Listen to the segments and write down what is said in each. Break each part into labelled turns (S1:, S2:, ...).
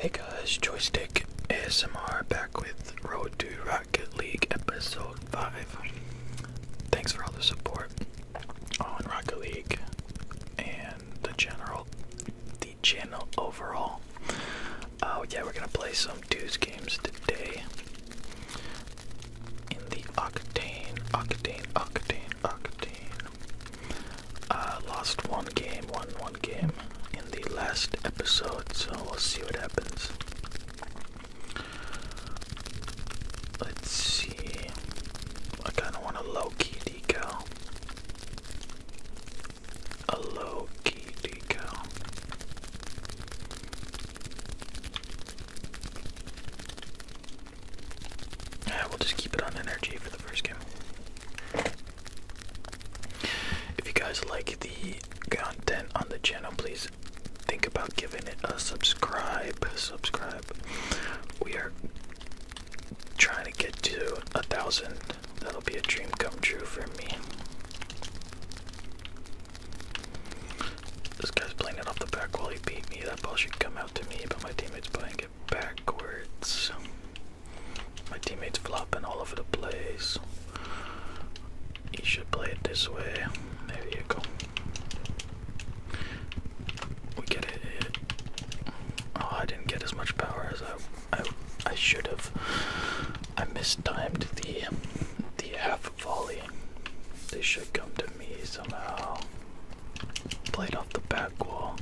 S1: Hey guys, Joystick ASMR back with Road to Rocket League episode 5. Thanks for all the support on Rocket League and the general, the channel overall. Oh, yeah, we're gonna play some Deuce games today in the Octane, Octane, Octane, Octane uh, lost one game, won one game in the last episode, so we'll see what happens. Let's see. I kind of want a low key decal. A low key decal. Yeah, we'll just keep it on energy for the first game. If you guys like the content on the channel, please think about giving it a subscribe. Subscribe. We are trying to get to a thousand. That'll be a dream come true for me. This guy's playing it off the back wall beat me. That ball should come out to me, but my teammate's playing it backwards. My teammate's flopping all over the place. He should play it this way. There you go. We get it. Oh, I didn't get as much power as I I, I should have. I mistimed the the half volley. They should come to me somehow. Played off the back wall.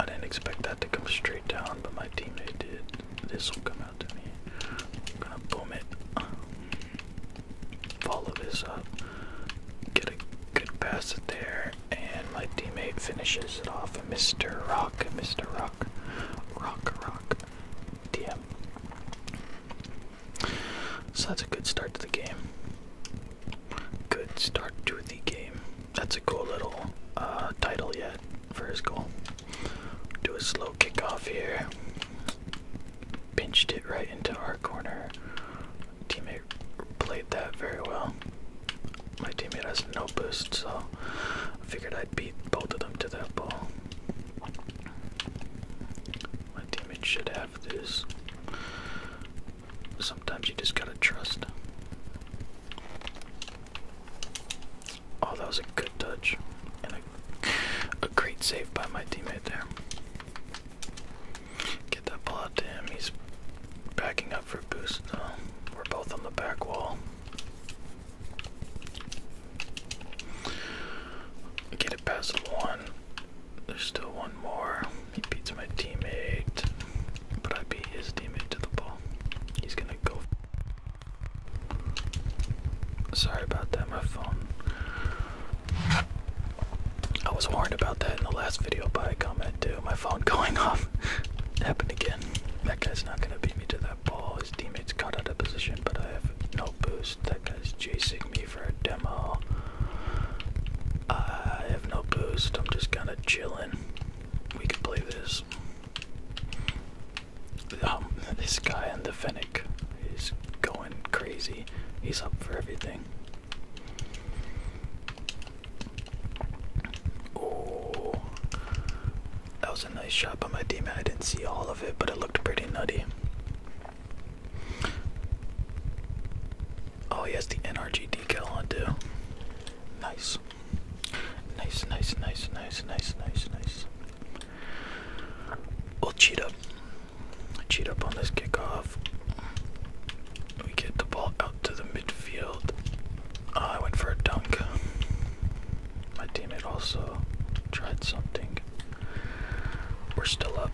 S1: I didn't expect that to come straight down, but my teammate did. This will come out to me. I'm gonna boom it. Follow this up. Get a good pass it there, and my teammate finishes it off. Mr. Rock, Mr. Rock, Rock, Rock, DM. So that's a good start to the game. Good start to the game. That's a cool little uh, title yet for his goal. Do a slow kickoff here. Pinched it right into our corner. Teammate played that very well. My teammate has no boost, so I figured I'd beat both of them to that ball. My teammate should have this. Sometimes you just gotta trust. Oh, that was a good touch and a, great save by my teammate there. Get that ball out to him. He's backing up for a boost though. We're both on the back wall. Get it past one. There's still one more. He beats my teammate, but I beat his teammate to the ball. He's gonna go. Sorry about that, my phone. I was warned about that in the last video by a comment too. My phone going off. Happened again. That guy's not gonna beat me to that ball. His teammates got out of position, but I have no boost. That guy's chasing me for a demo. I have no boost, I'm just kind of chilling. We could play this. Um, this guy in the Fennec is going crazy. He's up for everything. Oh, that was a nice shot by my teammate. I didn't see all of it, but it looked pretty nutty. Oh, he has the NRG decal on too. Nice. Nice, nice, nice, nice, nice, nice, nice. We'll cheat up. Cheat up on this kickoff. We get the ball out to the midfield. Oh, I went for a dunk. My teammate also tried something. We're still up.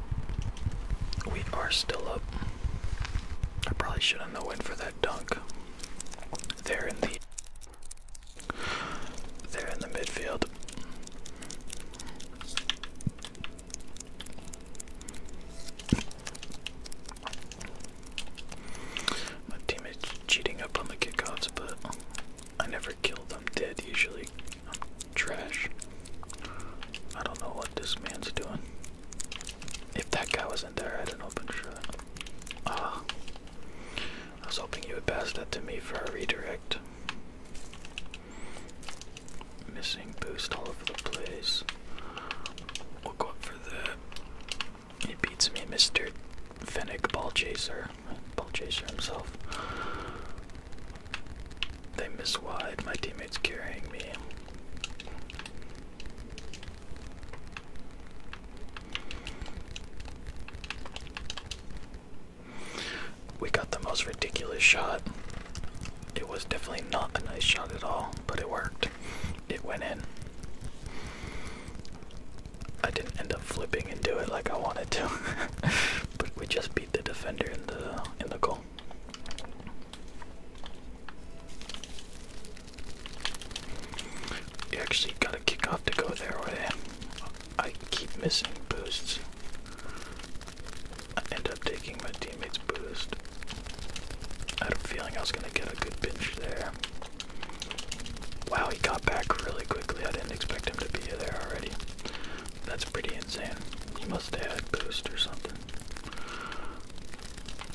S1: We are still up. I probably should have known went for that dunk. They're in the They're in the midfield. My teammate's cheating up on the kickoffs, but I never kill them dead usually. I'm trash. I don't know what this man's doing. If that guy wasn't there, I'd an open shot. Ah. I was hoping you would pass that to me for a redirect. Missing boost all over the place. We'll go up for the. It beats me, Mr. Fennec Ball Chaser ball chaser himself. They miss wide, my teammate's carrying me. We got the most ridiculous shot. It was definitely not a nice shot at all, but it worked. It went in. I didn't end up flipping and do it like I wanted to, but we just beat the defender in the in the goal. You actually got a kick off to go there, way. I keep missing boosts. I end up taking my teammate's boost. I had a feeling I was gonna get a good pinch there. Wow, he got back really quickly. I didn't expect him to be there already. That's pretty insane. He must have had boost or something.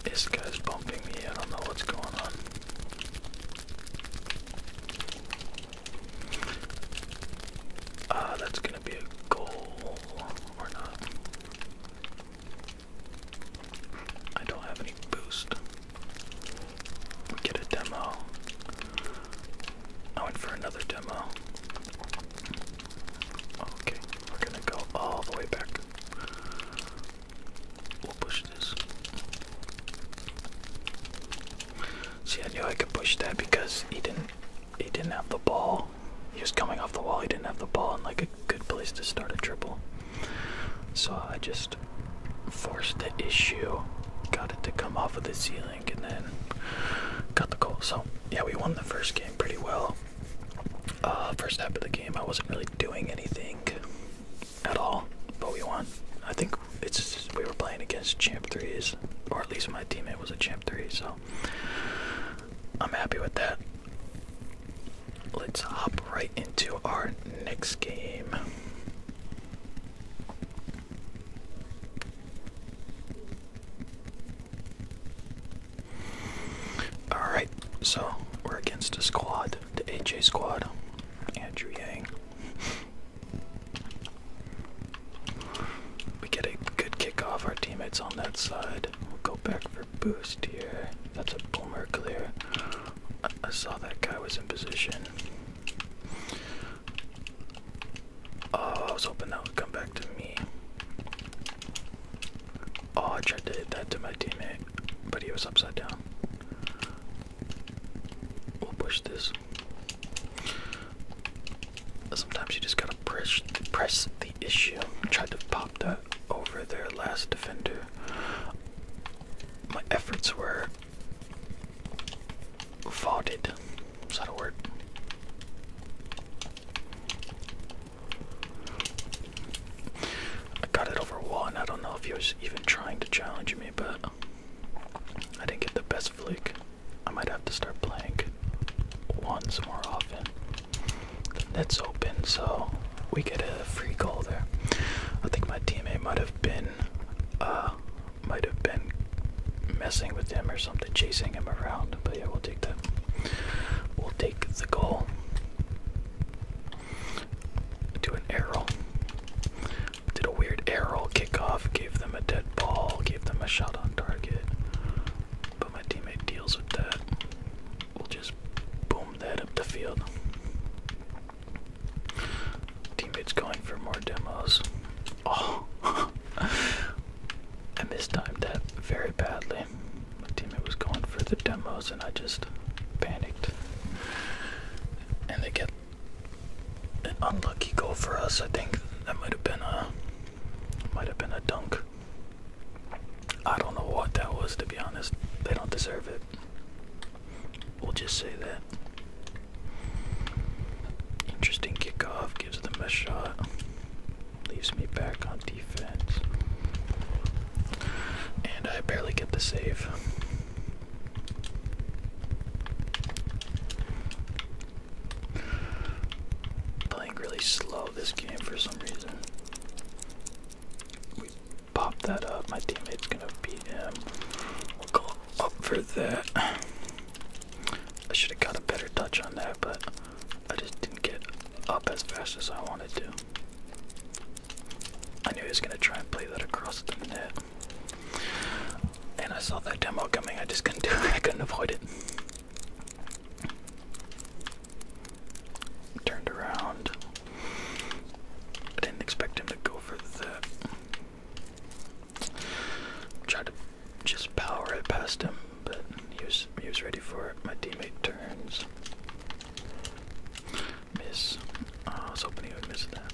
S1: This guy's bumping me. I don't know what's going on. Ah, that's gonna be a goal or not. I don't have any boost. We get a demo. I went for another demo. Okay, we're gonna go all the way back. We'll push this. See, I knew I could push that because he didn't. He didn't have the ball. He was coming off the wall. He didn't have the ball, in like a good place to start a triple. So I just forced the issue, got it to come off of the ceiling, and then got the goal. So yeah, we won the first game pretty well. Uh, first half of the game, I wasn't really doing anything at all, but we won. I think it's we were playing against champ threes, or at least my teammate was a champ three, so I'm happy with that let's hop right into our next game. Alright, so we're against a squad, the AJ squad, Andrew Yang. We get a good kick off, our teammates on that side. We'll go back for boost here. That's a boomer clear. I, saw that guy was in position. Oh, I was hoping that would come back to me. Oh, I tried to hit that to my teammate, but he was upside down. We'll push this. Sometimes you just gotta press, press the issue. Tried to pop that over their last defender my efforts were faulted. Is that a word? I got it over one. I don't know if he was even trying to challenge me, but I didn't get the best flick. I might have to start playing once more often that's open, so we get a free goal there. I think my teammate might have been, uh, might have been messing with him or something, chasing him around. But yeah, we'll take that. We'll take the goal. Do an air Did a weird air kickoff, gave them a dead ball, gave them a shot on target. But my teammate deals with that we'll just boom that up the field. Teammates going for more demos. Oh, I missed timed that very badly. My teammate was going for the demos, and I just panicked. And they get an unlucky goal for us. I think that might have been a might have been a dunk. I don't know what that was, to be honest. They don't deserve it. We'll just say that. Interesting kickoff, gives them a shot. Leaves me back on defense. And I barely get the save. Playing really slow this game for some reason we pop that up. My teammate's gonna beat him. We'll go up for that. I should have got a better touch on that, but I just didn't get up as fast as I wanted to. I knew he was gonna try and play that across the net. And I saw that demo coming, I just couldn't do it, I couldn't avoid it. Turned around. I didn't expect him to go for the. Tried to just power it past him, but he was he was ready for it. My teammate turns. Miss. Uh, I was hoping he would miss that.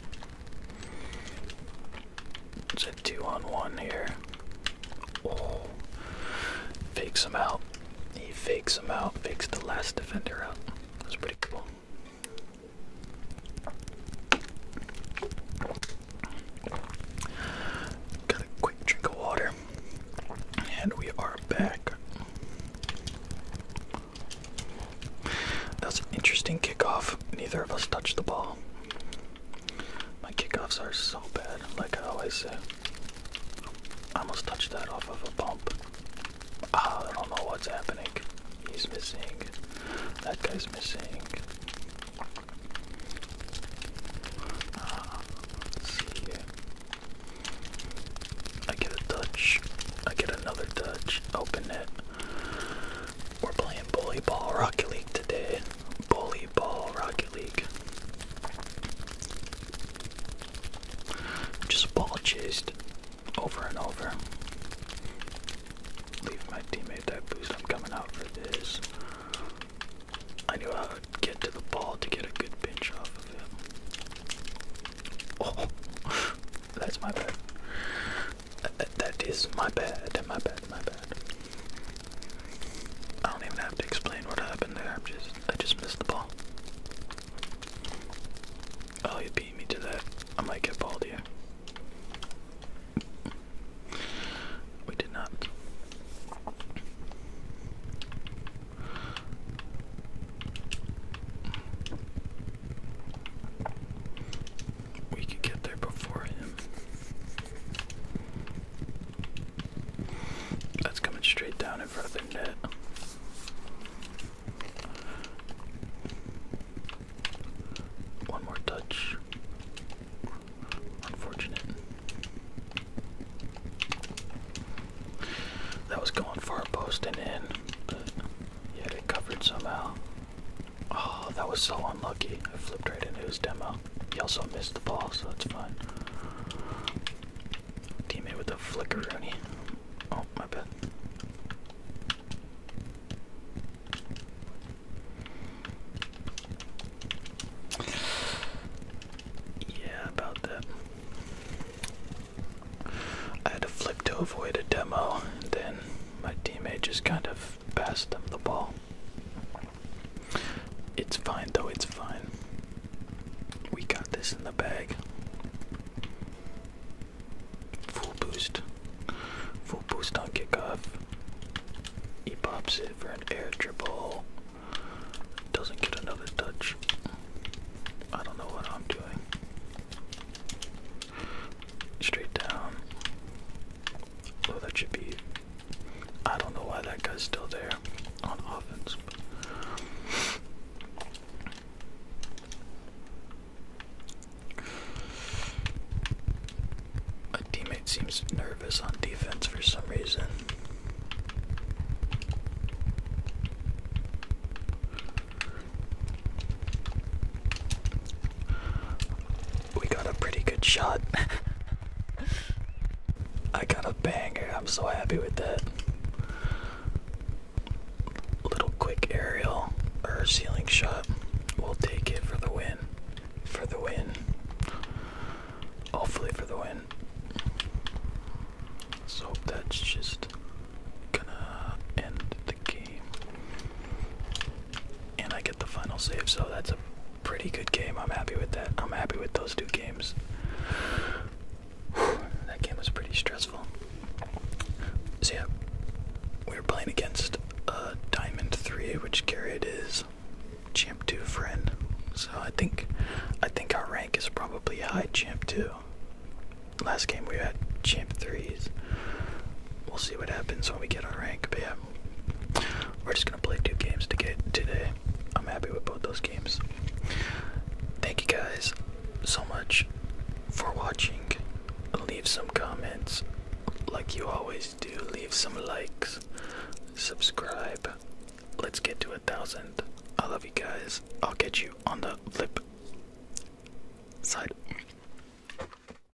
S1: It's a two on one here. Oh, fakes him out. He fakes him out, fakes the last defender out. That's pretty cool. Got a quick drink of water, and we are back. That was an interesting kickoff. Neither of us touched the ball. My kickoffs are so bad, like I always say. I almost touched that off of a bump. Ah, I don't know what's happening. He's missing. That guy's missing. Ah, see. I get a touch. I get another touch. Open it. We're playing bully ball Rocky League today ball, Rocket League. Just ball chased over and over. Leave my teammate that boost. I'm coming out for this. I knew I would get to the ball to get a good pinch off of him. Oh, that's my bad. That is my bad. My bad. My bad. I don't even have to explain what happened there. i just I just missed the ball. Oh, you beat me to that. I might get balled here. We did not. We could get there before him. That's coming straight down in front of the net. One more touch. Unfortunate. That was going far a post and in, but he had it covered somehow. Oh, that was so unlucky. I flipped right into his demo. He also missed the ball, so it's fine. Teammate with a flicker, Rooney. Oh, my bad. Yeah, about that. I had to flip to avoid a demo, and then my teammate just kind of have passed them the ball. It's fine though, it's fine. We got this in the bag. Full boost. Full boost on kickoff. He pops it for an air dribble. Doesn't get another touch. I don't know what I'm doing. Straight down. Oh, that should be. I don't know why that guy's still there on offense. A teammate seems nervous on defense for some reason we got a pretty good shot. I got a banger. I'm so happy with that. Little quick aerial or ceiling shot. We'll take it for the win. For the win. Hopefully for the win. So that's just gonna end the game. And I get the final save, so that's a pretty good game. I'm happy with that. I'm happy with those two games. that game was pretty stressful. So yeah, we were playing against uh, Diamond Three, which carried is Champ Two friend. So I think I think our rank is probably high Champ Two. Last game we had Champ Threes. We'll see what happens when we get our rank, but we're just gonna play two games today. I'm happy with both those games. Thank you guys so much for watching. Leave some comments like you always do. Leave some likes. Subscribe. Let's get to a thousand. I love you guys. I'll get you on the flip side.